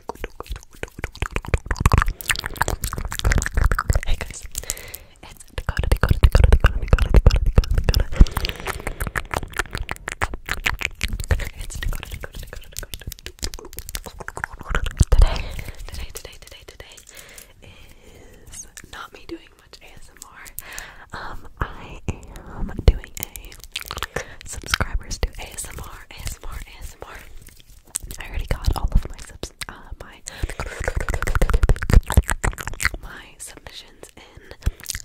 Hey guys, today, today, today, today is not me doing much ASMR. Um, I am doing a subscribers to ASMR, ASMR, ASMR. I already got all of my subs, uh, my my submissions in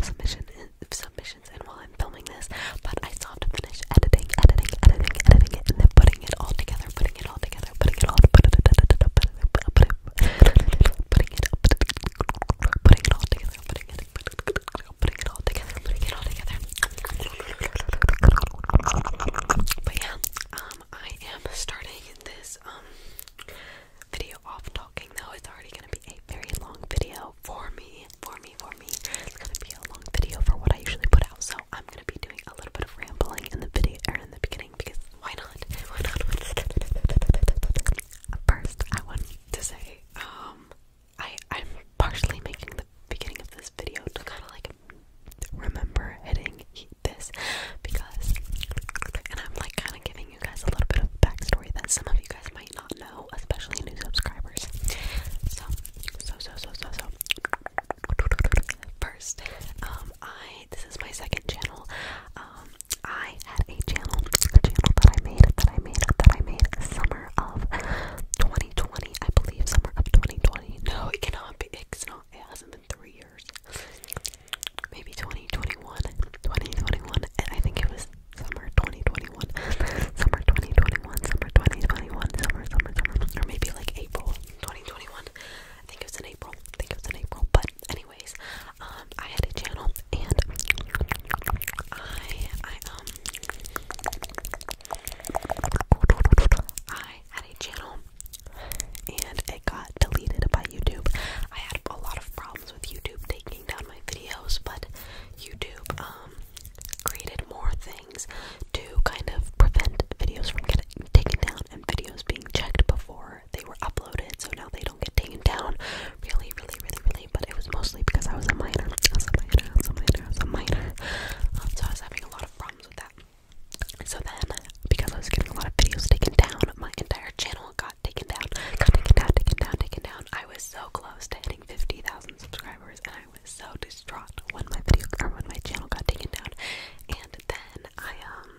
submission in submissions in while I'm filming this, but I still have to finish editing, editing, editing, editing it, and then putting it all together, putting it all together, putting it all, putting it, putting it, putting it all together, putting it putting it all together, putting it all together. But yeah, um, I am starting this um video off talking though. It's already gonna be a very long video for me, for me, for me. It's gonna be a long video for what I usually put out, so I'm gonna be doing a little bit of rambling in the video or er, in the beginning because why not? Why not? First, I want to say, um, I I'm partially making the beginning of this video to kind of like remember hitting this because and I'm like kind of giving you guys a little bit of backstory that some of you guys might not know, especially new subscribers. So so so so so so first, um I this is my second channel. Um I had a channel, a channel that I made, that I made, that I made summer summer of 2020, I believe. Summer of 2020. No, it cannot be. It's not. It hasn't been three years. Maybe 2021. 2021. And I think it was summer 2021. Summer 2021. Summer 2021. Summer, summer, summer. Or maybe like April 2021. I think it was in April. I think it was in April. But anyways, um, I had a channel and I I um I had a channel and it got deleted by YouTube. I had a lot of problems with YouTube taking down my videos, but YouTube um, created more things to kind of prevent videos from getting taken down and videos being checked before they were uploaded so now they don't get taken down really really really really but it was mostly because I was a minor. I was a minor, I was a minor, I was a minor. Um, so I was having a lot of problems with that. So then, because I was getting a lot of videos taken down, my entire channel got taken down, taken down, taken down, taken down. I was so close to hitting 50,000 subscribers, and I was so distraught when my video when my channel got taken down. And then I um,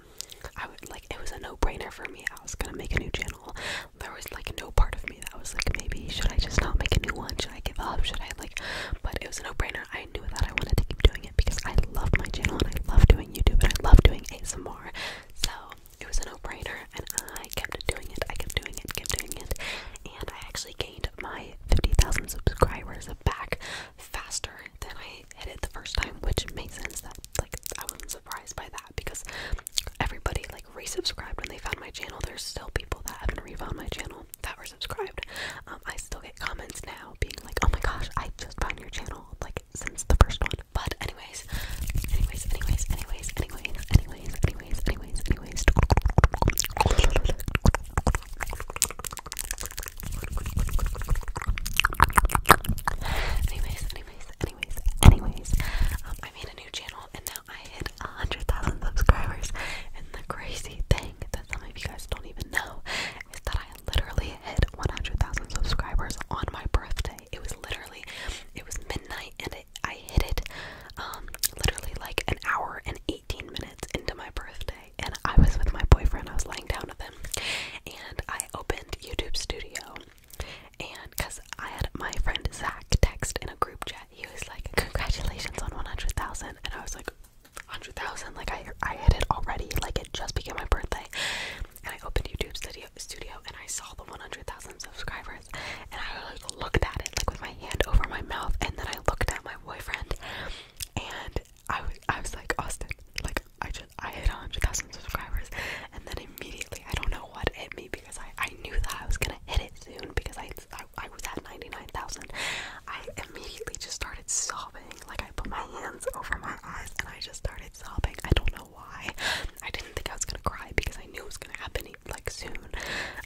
I would like it was a no-brainer for me. I was gonna make a new channel. There was like no part of me that. I was like, maybe should I just not make a new one? Should I give up? Should I like? But it was a no-brainer. I knew that I wanted to keep doing it because I love my channel and I love doing YouTube and I love doing ASMR. So it was a no-brainer, and I kept doing it. I kept doing it. I Kept doing it, and I actually gained my 50,000 subscribers back faster than I hit it the first time, which makes sense. That like I wasn't surprised by that because everybody like resubscribed when they found my channel. There's still people that haven't refound my channel channel that were subscribed. Um, I still get comments now being like, oh my gosh, I just found your channel like since the first one. But anyways, anyways, anyways, anyways, anyways, anyways, anyways, anyways, anyways. Anyways, anyways, anyways, anyways. Um, I made a new channel and now I hit 100,000 subscribers, and the crazy thing that some of you guys don't even know is that I literally hit 100,000 subscribers on my birthday. It was literally, it was midnight, and I hit it um, literally like an hour and 18 minutes into my birthday. And I was with my boyfriend, I was lying down with him, and I opened YouTube Studio. And because I had my friend Zach text in a group chat he was like, "Congratulations on 100,000," and I was like, "100,000? Like I I hit it already. Like it just became my birthday." And I opened YouTube Studio and I saw the 100,000 subscribers, and I like looked at it like with my hand over my mouth, and then I looked at my boyfriend, and I was I was like, "Austin, like I just I hit 100,000 subscribers," and then immediately I don't know what hit me because I I knew that I was gonna hit it soon because I I, was at 99,000, I immediately just started sobbing. Like, I put my hands over my eyes and I just started sobbing. I don't know why. I didn't think I was gonna cry because I knew it was gonna happen like soon.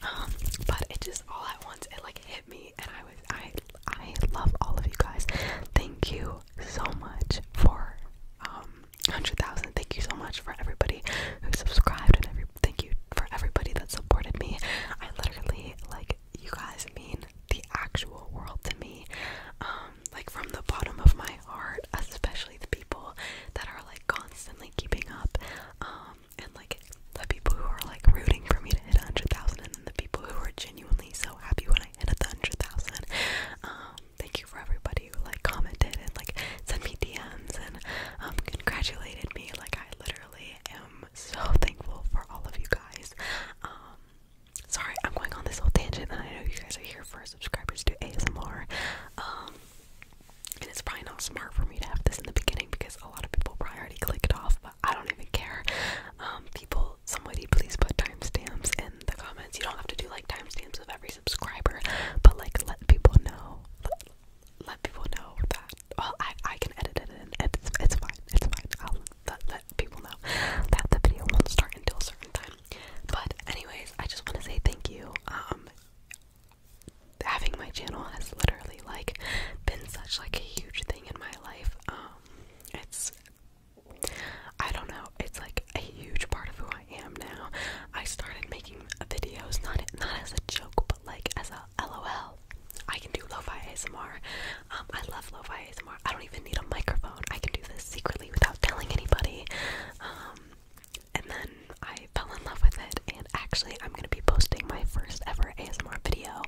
Um, but it just all at once it like hit me, and I was I I love all of you guys. Thank you so much for um hundred thousand. Thank you so much for everybody who subscribed and everybody thank you for everybody that supported me. I literally like you guys mean the actual world to me. Um, like from the bottom of my heart, especially the people that are like constantly keeping up. Um, and like the people who are like rooting for me to hit a hundred thousand and the people who are genuinely so happy when I hit a hundred thousand. Um, thank you for everybody who like commented and like sent me DMs and um congratulated me. Like I literally am am so thankful for all of you guys. Um, sorry, I'm going on this whole tangent, I know you guys are here for subscribers to ASMR. Um, and it's probably not smart for me to have this in the beginning because a lot of people probably already clicked off, but I don't even care. Um, people, somebody please put timestamps in the comments. You don't have to do like timestamps with every subscriber, but like let people know. Let, let people know that. Well, I I can edit it and It's it's fine. It's fine. I'll let, let people know that the video won't start until a certain time. But anyways, I just want to say thank you. Um, having my channel has literally like been such like a huge thing in my life. Um, it's I don't know. It's like a huge part of who I am now. I started making videos not not as a joke, but like as a LOL well, I can do lo-fi ASMR. Um, I love lo-fi ASMR. I don't even need a microphone. I can do this secretly without telling anybody. Um, and then I fell in love with it, and actually, I'm gonna be posting my first ever ASMR video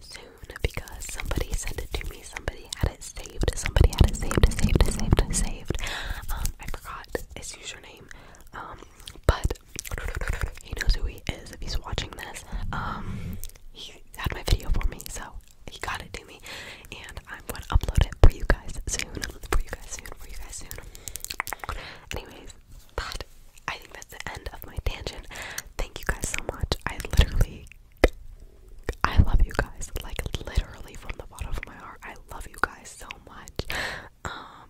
soon because somebody sent it to me. Somebody had it saved. Somebody had it saved, saved, saved, saved. Um, I forgot his username. Um, but he knows who he is if he's watching this. Um, he had my video for me, so he got it to me, and I'm gonna upload it for you guys soon. For you guys soon. For you guys soon. Anyways, that I think that's the end of my tangent. Thank you guys so much. I literally, I love you guys. Like literally from the bottom of my heart, I love you guys so much. Um,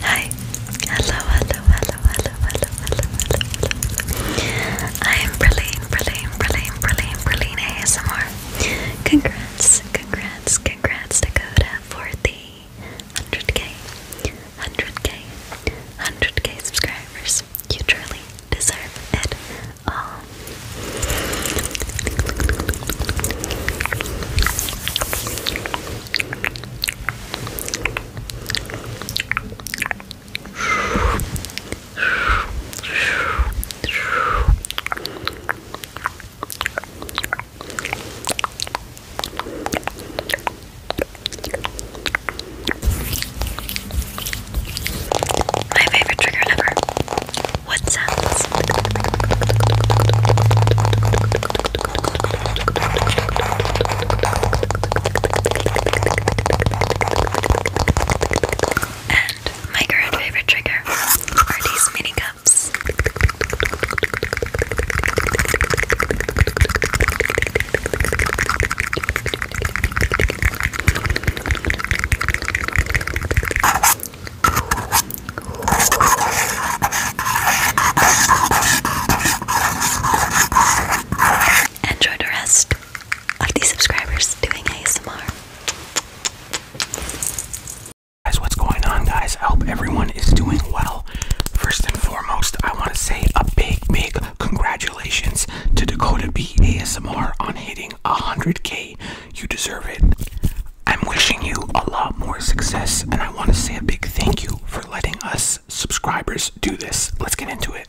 Hi. Hello, hello, hello, hello, hello, hello, I am Brilliant, Brilliant, Brilliant, Brilliant, Brilliant ASMR. Congrats, congrats, congrats Dakota for the 100k, 100k, 100k subscribers. You truly deserve it all. My favorite trigger ever. What sounds? And my current favorite trigger are these mini cups. Enjoy the rest of these subscribers doing ASMR. Guys, what's going on, guys? I hope everyone is doing well. First and foremost, I want to say a big, big congratulations to Dakota B ASMR on hitting 100k. You deserve it. I'm wishing you a lot more success, and I want to say a big thank you for letting us subscribers do this. Let's get into it.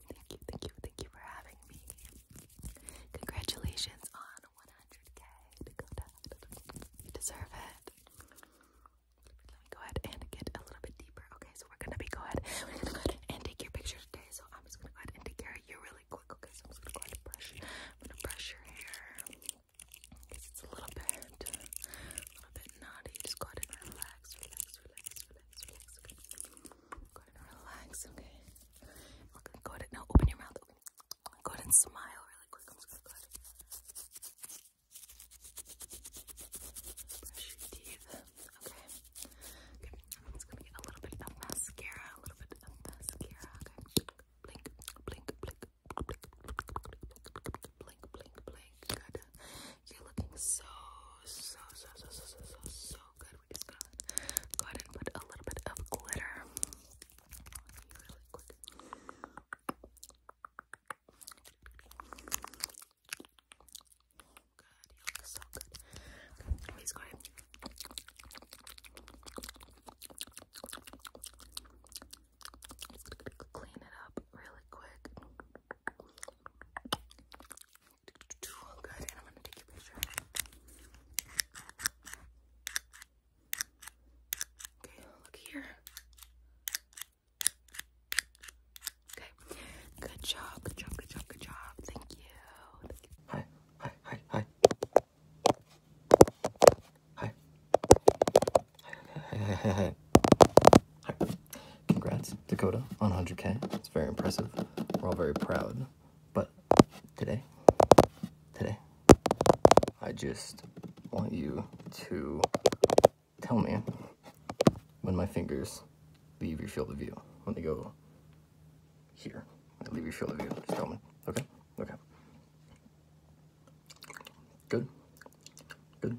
Thank you, thank you, thank you for having me. Congratulations on 100k. You deserve it. Let me go ahead and get a little bit deeper. Okay, so we're gonna be go ahead. go ahead and take your picture today. So I'm just gonna go ahead and take care of you really quick. Okay, so I'm gonna go ahead and brush. I'm gonna brush your hair. it's a little bit, a little bit naughty. Just go ahead and relax, relax, relax, relax, relax. Go ahead and relax, okay? go ahead. Now open your mouth. Go ahead and smile really quick. i teeth. Okay. Okay. gonna get a little bit of mascara. A little bit of mascara. Okay. Blink, blink, blink, blink, blink, blink, blink, you're looking so, so, so, so, so, so, so, so good. We just gotta go ahead and put a little bit of glitter. Really quick. Good, you look so good. Please go ahead. Just clean it up really quick. Good, Okay, look here. Okay, good job, good job, good job, good job. Thank you. Thank you. Hi, hi, hi, hi. Hi. Hi, hi, hi, hi, hi. Congrats, Dakota, on 100K. It's very impressive. We're all very proud. But today, today, I just want you to tell me when my fingers leave your field of view. When they go here, leave your field of view. Just tell me. Okay? Okay. Good. Good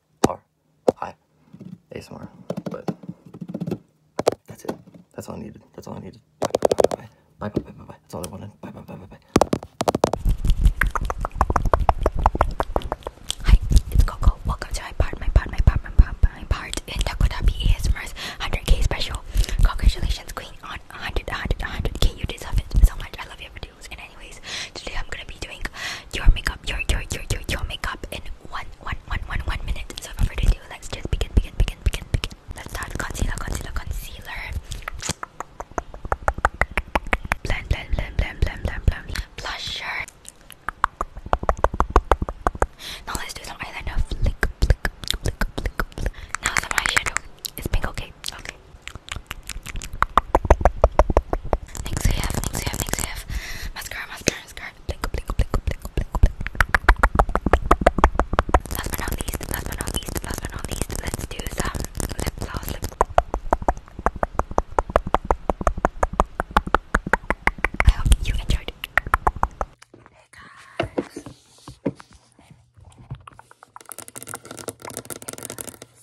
Hi, ASMR. But that's it. That's all I needed. That's all I needed. Bye bye bye bye bye bye bye. bye, bye. That's all I wanted. Bye bye bye bye bye. Hi, it's Coco. Welcome to my part, my part, my part, my part, my part in Takotabi ASMR's 100k special. Congratulations, Queen, on 100, 100, 100k. You deserve it so much. I love you every day. And anyways, today I'm gonna be doing your makeup, your your your your your makeup in one one one one one minute. So for video, let's just begin, begin, begin, begin, begin. Let's start concealer, concealer, concealer. Blend, blend, blend, blend, blend, blend, blend. Blusher. Now let's do some eyeliner. Flick, flick, flick, flick, flick. Now some eyeshadow. Is pink okay? Okay. Next I have, next I have, next I have mascara, mascara, mascara. Blink, blink, blink, blink, blink, blink. Last but not least, last but not least, last but not least, let's do some lip gloss. I hope you enjoyed. Hey guys.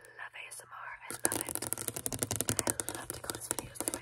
I love ASMR. I love it. I love ticklish videos. They're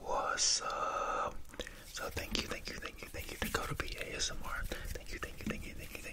What's up? So thank you, thank you, thank you, thank you to go to be ASMR. Thank you, thank you, thank you, thank you, thank you.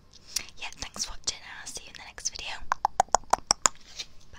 yeah, thanks for watching and I'll see you in the next video. Bye.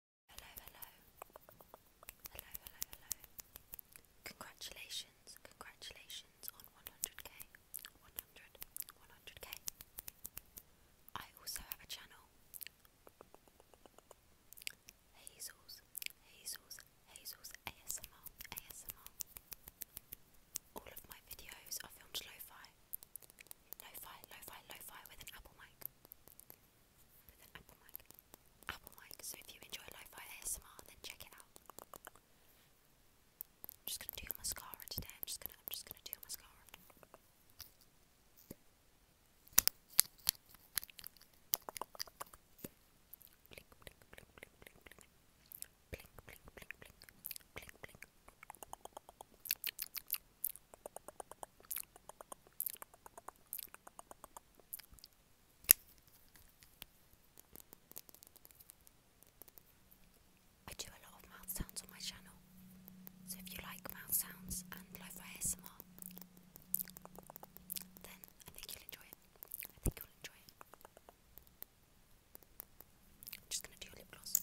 Hello, hello. Hello, hello, hello. Congratulations, congratulations on 100k. 100, 100k. I also have a channel. Hazels, Hazels, Hazels ASMR, ASMR. All of my videos are filmed lo-fi, Lo-fi, lo-fi, lo-fi with an Apple mic. Apple mic. So if you enjoy lo-fi ASMR, then check it out. I'm just gonna do my scar today. I'm just gonna, I'm just gonna do your mascara. Blink, blink, blink, blink, blink, blink. Blink, blink, blink, blink, blink, blink. I do a lot of mouth sounds on my channel, so if you like mouth sounds and lo ASMR, then I think you'll enjoy it. I think you'll enjoy it. I'm just gonna do a lip gloss.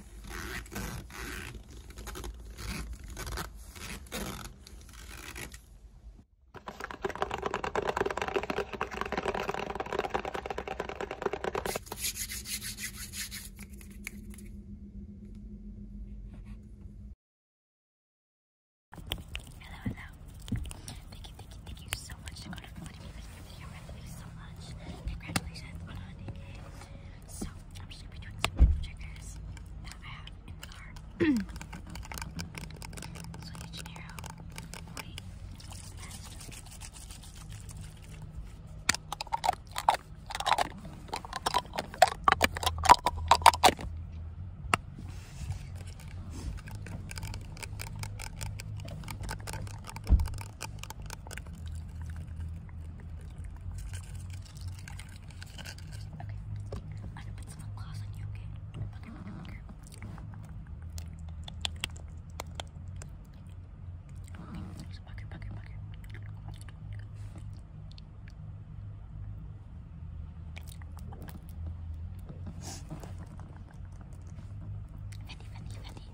Hello, hello. Thank you, thank you, thank you so much for letting me live video. I love you so much. Congratulations on 100k. So, I'm just gonna be doing some little triggers that I have in the car. so, De Janeiro. Wait, I'm gonna put some gloss on you, okay? Look at look at Okay, just pucker, pucker, pucker. Fendi, Fendi, Fendi.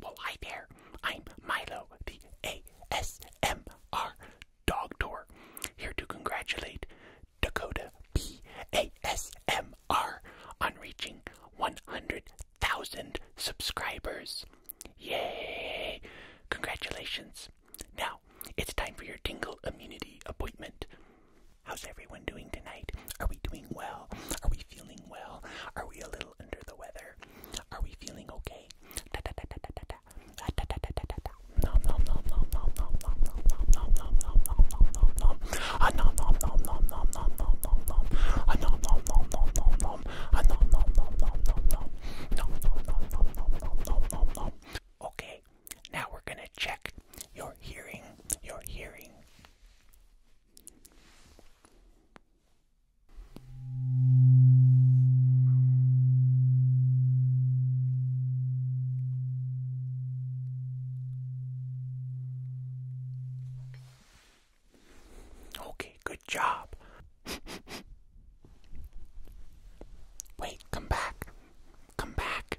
Well, hi there. I'm Milo, the ASMR dog tour, here to congratulate Dakota B on reaching 100,000 subscribers. Yay! Congratulations. Now, it's time for your tingle immunity appointment. How's everyone doing tonight? Are we doing well? Are we feeling well? Are we a little under the weather? Are we feeling okay? Nom nom nom nom nom nom nom nom nom nom nom nom nom nom nom nom. Ah nom nom nom nom nom nom nom nom nom. Ah nom nom nom nom nom nom. Ah nom nom nom nom nom nom. Nom nom nom nom nom nom nom nom. Okay, now we're gonna check your hearing. Your hearing. Okay, good job. Wait, come back. Come back.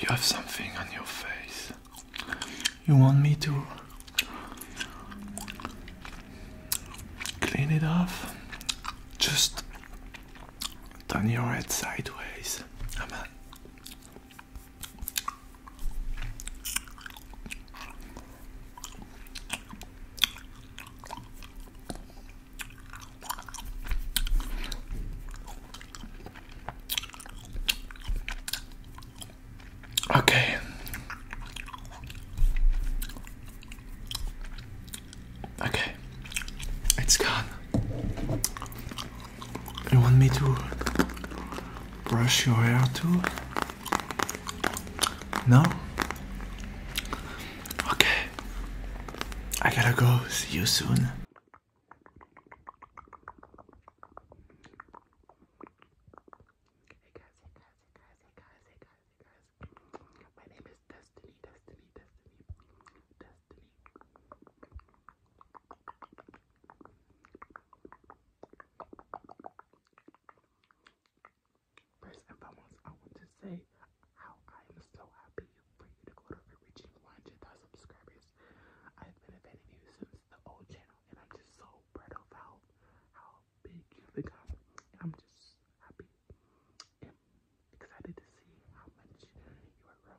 You have something on your face. You want me to clean it off? Just turn your head sideways. Come Okay. Okay. It's gone. You want me to brush your hair too? No? Okay. I gotta go. See you soon. First and foremost, I want to say how I am so happy for you to go over reaching 100,000 subscribers. I've been a fan of you since the old channel, and I'm just so proud of how, how big you've become. I'm just happy and excited to see how much You will grow.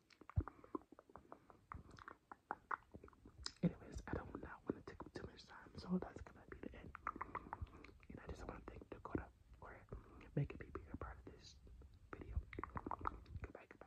Anyways, I don't want to take too much time, so that's gonna be the end. And I just want to thank Dakota for making me be a part of this video. Goodbye, guys.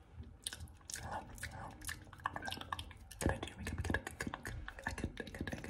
Hello, hello. Can I do your makeup? Can I, can, can, I could, I could, I could.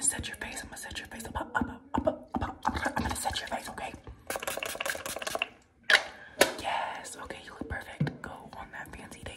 Set your face. I'm gonna set your face up, up, up, up, up, up, up. I'm gonna set your face, okay? Yes, okay, you look perfect. Go on that fancy date.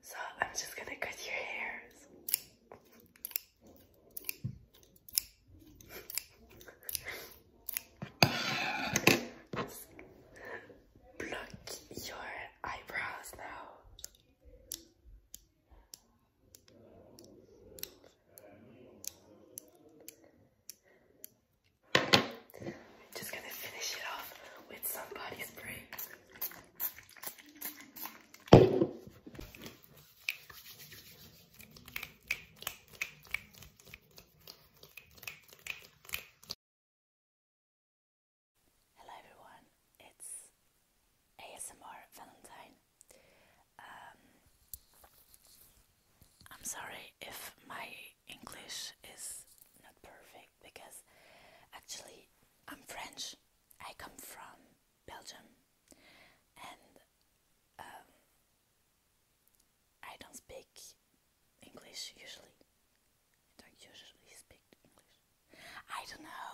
So I'm just gonna cut your hairs. Block your eyebrows now just gonna finish it off with somebody's body Hello everyone, it's ASMR Valentine. Um, I'm sorry if my English is not perfect because actually I'm French. I come from Belgium and um, I don't speak English usually. I don't usually speak English. I don't know.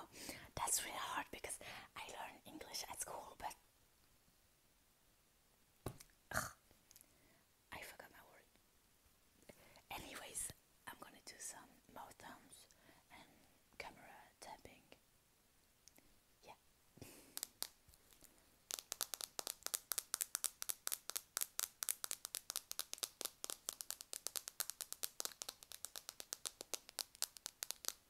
That's really hard because I learned English at school, but I forgot my word. Anyways, I'm gonna do some mouth thumbs and camera tapping. Yeah.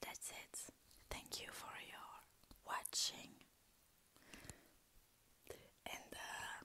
That's it. Thank you for your watching. And uh,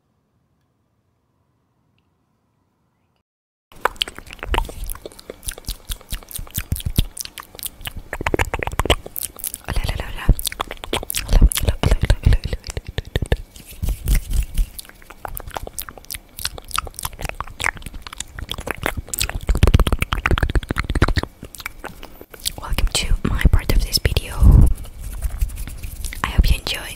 Welcome to my part of this video. I hope you enjoy.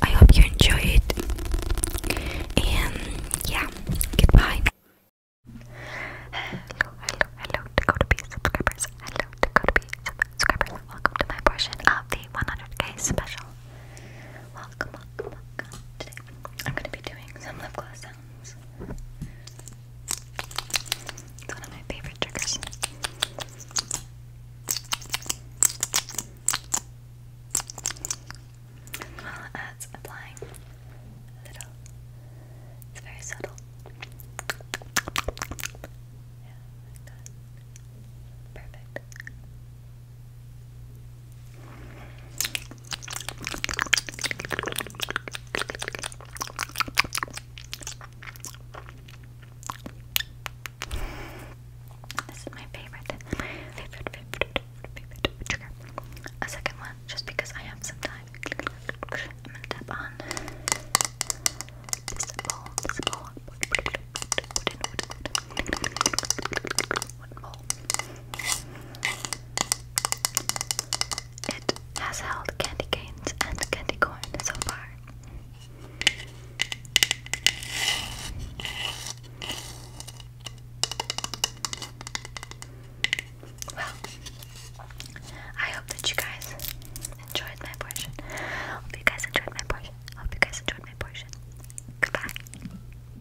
I hope you enjoy it, and yeah, goodbye. Hello, hello, hello, Dakota B subscribers. Hello, Dakota B subscribers. Welcome to my portion of the 100k special welcome, welcome, welcome. Today I'm going to be doing some lip gloss sounds. It's one of my favorite triggers. As well as applying It's very subtle. Yeah, like that. Perfect. This is my favorite, my favorite, favorite, favorite A second one, just because I have some time. I'm gonna tap on this bowl, one It has held candy canes and candy corn so far. Well, I hope that you guys enjoyed my portion. Hope you guys enjoyed my portion. Hope you guys enjoyed my portion. Goodbye.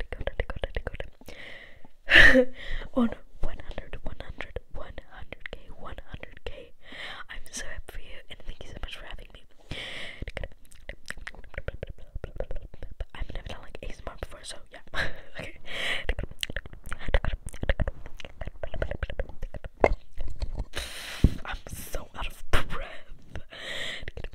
record, record, record. On 100, 100, 100k, 100k. I'm so happy for you and thank you so much for having me. I've never done like ASMR before, so yeah. okay. I'm so out of breath.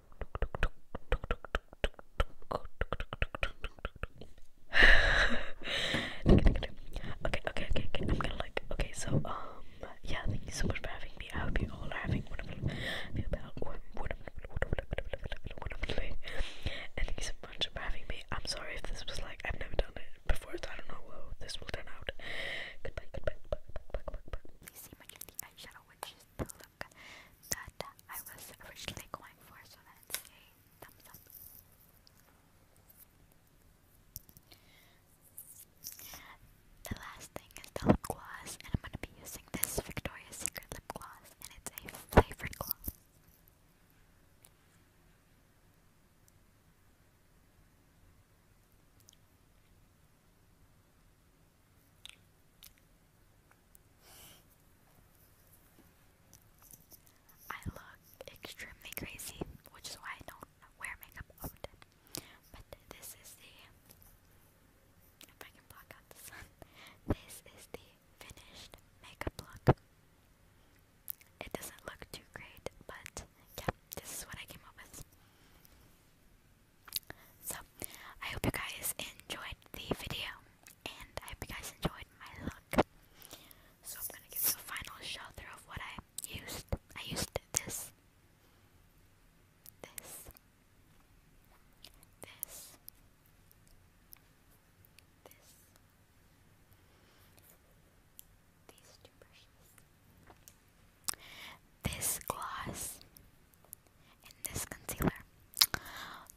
okay, okay, okay, okay. I'm gonna like. Okay, so um, yeah. Thank you so much for having me. I hope you all are having wonderful, wonderful, wonderful day. And thank you so much for having me. I'm sorry if this was like I've never done it before, so I don't know how this will turn out. Goodbye, goodbye, goodbye, goodbye, goodbye, that I was originally going for, so that's a thumbs The last thing is the lip gloss, and I'm going to be using this Victoria's Secret lip gloss, and it's a flavored gloss. I look extremely crazy, which is why I don't wear makeup often. But this is the if I can block out the sun. This is the finished makeup look. It doesn't look too great, but yeah, this is what I came up with. So, I hope you guys enjoyed the video, and I hope you guys enjoyed my look. So I'm gonna give you a final show through of what I used. I used this, this, this, this, these two brushes, this gloss, in this concealer.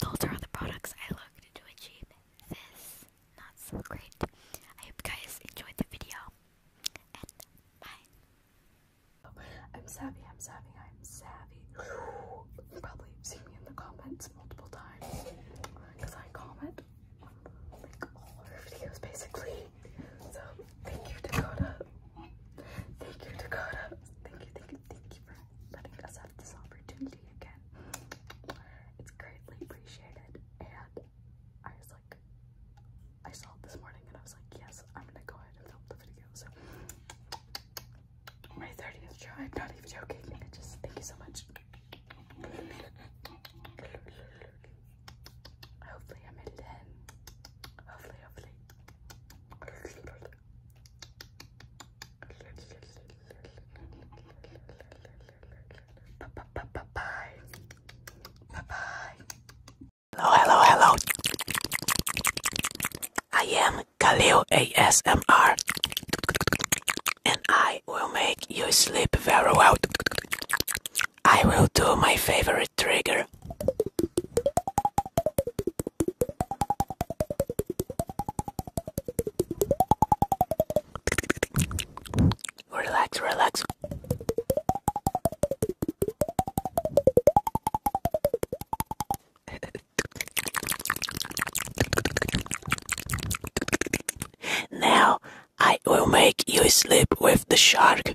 Those are all the products I looked to achieve this not so great. I hope you guys enjoyed the video and bye. I'm savvy, I'm savvy, I'm savvy. You probably see me in the comments multiple times because I comment like all of her videos basically. So thank you Dakota. Thank you Dakota. Thank you, thank you, thank you for letting us have this opportunity again. It's greatly appreciated. And I was like, I saw this morning and I was like, yes, I'm gonna go ahead and film the video. So, my 30th try, I'm not even joking. I just thank you so much. Hopefully, I'm in Hopefully, hopefully. Bye-bye. Bye-bye. Hello, hello, hello. I am Khalil ASMR and I will make you sleep very well. I will do my favorite trigger. Relax, relax. now I will make you sleep with the shark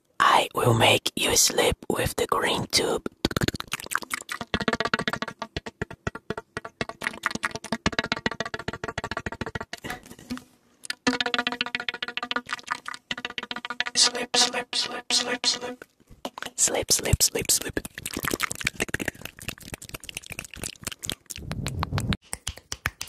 I will make you sleep with the green tube. Slip, slip, slip, slip, slip. Slip, slip, slip, slip.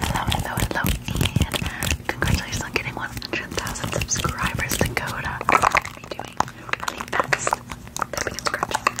hello, hello, and congratulations on getting 100,000 subscribers, Dakota. What are doing? I think that's tapping and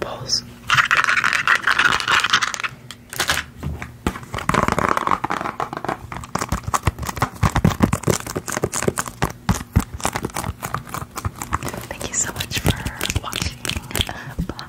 Balls. Thank you so much for watching. Bye.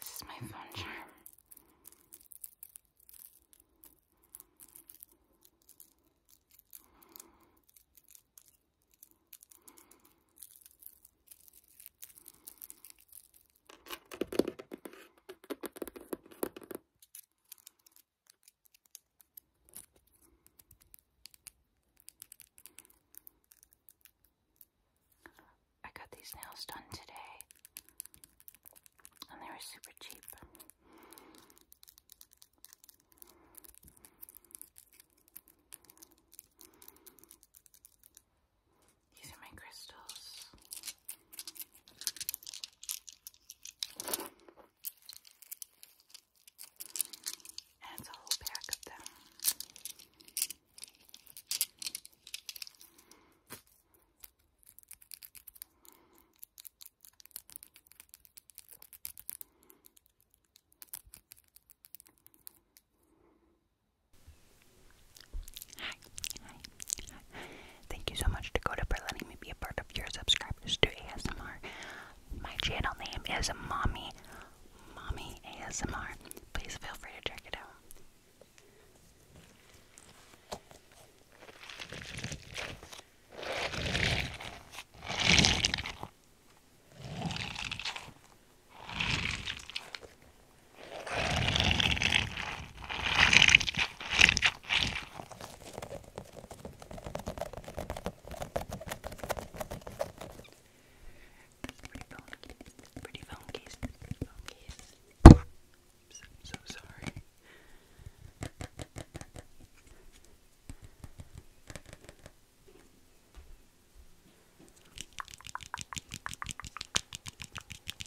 This is my phone charm. I got these nails done today, and they were super cheap. These are my crystals. And it's a whole pack of them. Hi, hi, Thank you so much, Dakota, for letting me be a part of your subscribers to ASMR. My channel name is Mommy, Mommy ASMR. Please feel free to check it out. It's pretty phone case. Pretty phone case. Pretty phone case. I'm so, so sorry.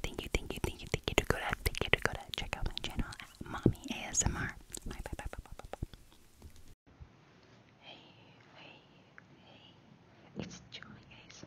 Thank you, thank you, thank you, thank you, thank you, Dakota. Thank you, Dakota. Check out my channel Mommy ASMR. Hey, hey, hey. It's Julie ASMR.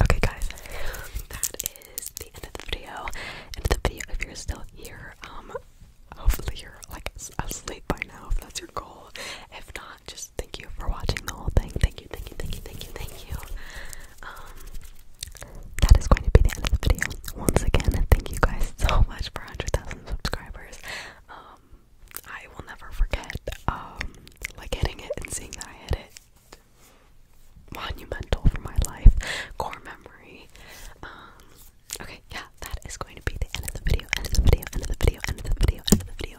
Okay, guys, that is the end of the video. End of the video. If you're still here, um, hopefully you're like asleep by now. If that's your goal. If not, just thank you for watching the whole thing. Thank you thank you, thank you, thank you, thank you, Um, that is going to be the end of the video. Once again, thank you guys so much for 100,000 subscribers. Um, I will never forget, um, like hitting it and seeing that I hit it. Monumental for my life, core memory. Um, okay, yeah, that is going to be the end of the video, end of the video, end of the video, end of the video. End of the video